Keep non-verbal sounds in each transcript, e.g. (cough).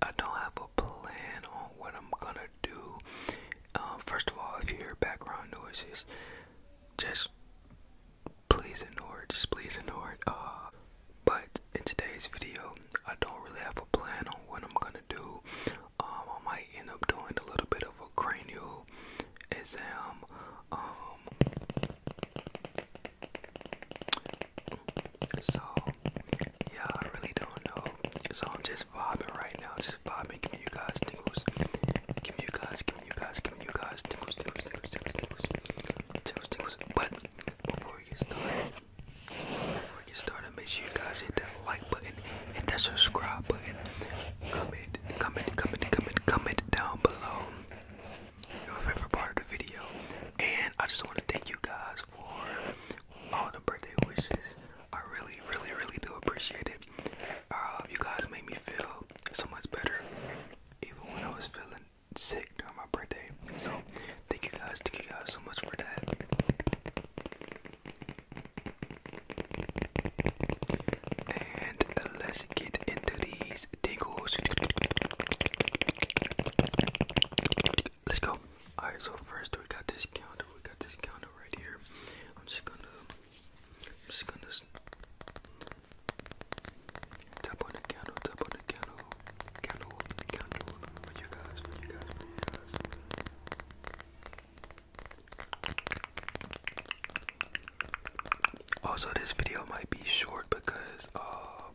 I don't have a plan on what I'm gonna do. Um, first of all, if you hear background noises, just please ignore Just please ignore uh, but in today's video, I don't really have a plan on what I'm gonna do. Um, I might end up doing a little bit of a cranial exam. Um, so yeah, I really don't know. So I'm just vibing right now, just vibing, giving you guys tingles, giving you guys, giving you guys, giving you guys tingles, tingles, tingles, tingles, tingles, tingles, tingles. But before we get started, before we get started, make sure you guys hit that like button, hit that subscribe button, comment, comment, comment, comment, comment down below your favorite part of the video. And I just want to thank you guys for all the birthday wishes. I really, really, really do appreciate it. Uh, you guys made me feel so much better, even when I was feeling sick during my birthday. So, thank you guys, thank you guys so much for that. And let's get into these digos let's go. Alright, so first we got this counter. We got this counter right here. I'm just gonna, just gonna tap on the counter. tap on the counter. candle, candle for you guys, for you guys, Also, this video might be short because uh,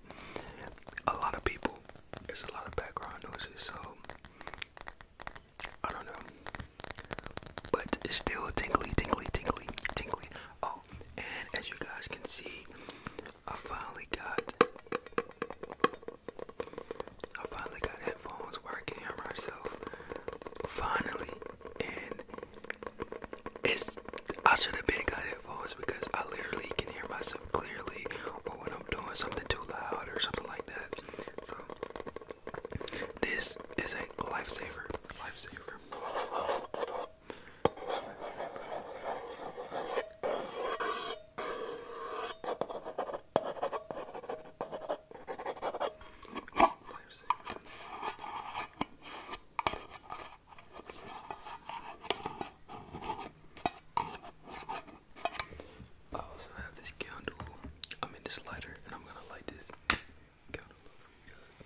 a lot of people there's a lot of background noises, so I don't know. But it's still tingly, tingly, tingly, tingly. Oh, and as you guys can see, I finally got I finally got headphones working on myself. Finally, and it's I should have been got headphones because I literally can hear myself clearly or when I'm doing something too loud or something like that. So this is a Lifesaver. lifesaver. Oh, I also have this candle. I mean this lighter, and I'm gonna light this candle for you guys.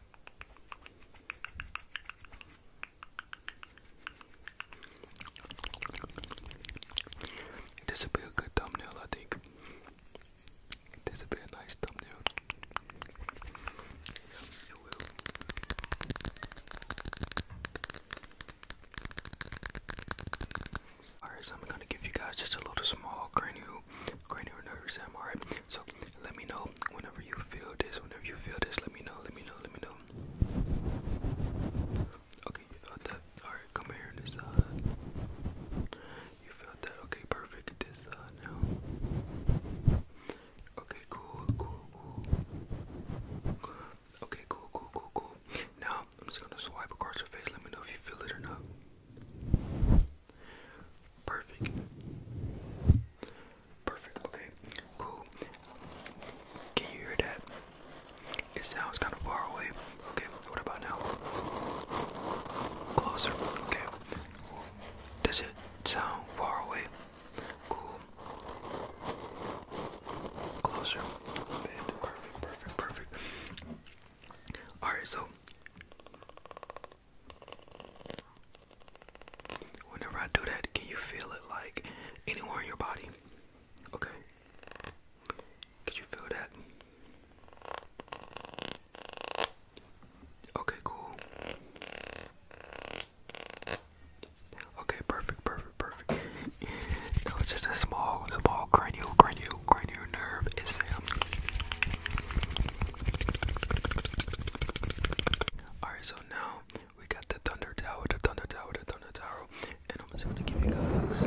This would be a good thumbnail, I think. This would be a nice thumbnail. Alright, I'm gonna give you guys just a little small cranial cranial nervous system. All right. So let me know whenever you feel this. Whenever you feel this, let me know. Let me know. Let me know. Okay, you felt that. All right, come here this side. You felt that. Okay, perfect. This side now. Okay, cool, cool, cool. Okay, cool, cool, cool, cool. Now I'm just gonna swipe across your face. Let me know if you feel it or not. Perfect. Perfect. Okay. Cool. Can you hear that? It sounds kind of far away. Okay. What about now? Closer. Okay. Does it sound far away? Cool. Closer. Perfect. Perfect. Perfect. Perfect. All right. So Whenever I do that, can you feel it like anywhere in your body? Okay. Can you feel that? Okay, cool. Okay, perfect, perfect, perfect. (laughs) that was just a small, small cranial, cranial, cranial. Alright, so now we got the Thunder Tower, the Thunder Tower, the Thunder Tower, and I'm just gonna give you guys.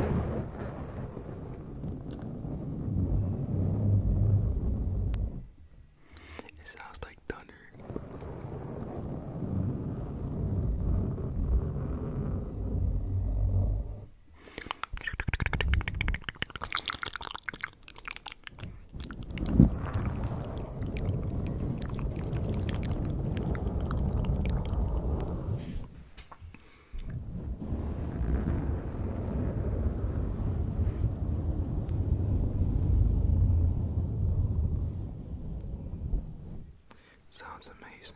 It sounds like thunder. Sounds amazing.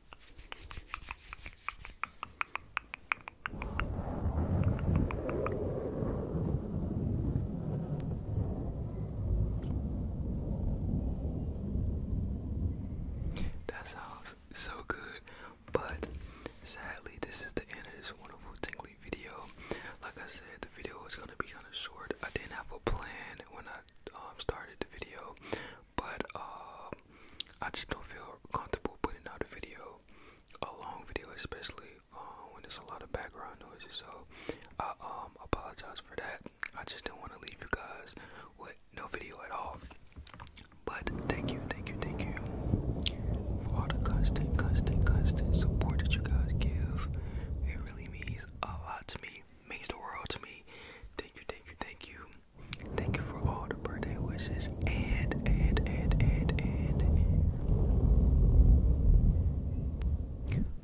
That sounds so good, but sadly, this is the end of this wonderful tingly video. Like I said, the video is gonna be kind of short. I didn't have a plan when I um, started the video, but um, I just don't feel comfortable putting out a video, a long video especially uh, when there's a lot of background noise. So I um, apologize for that. I just didn't want to leave you guys with no video at all. But thank you, thank you, thank you for all the constant, constant, constant support that you guys give. It really means a lot to me, Makes the world to me. Thank you, thank you, thank you. Thank you for all the birthday wishes and and and and and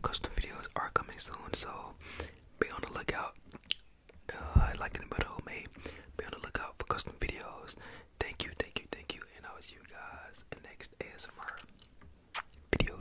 custom videos are coming soon, so be on the lookout. Uh, like in the oh, middle, mate. Be on the lookout for custom videos. Thank you, thank you, thank you, and I will see you guys in the next ASMR video.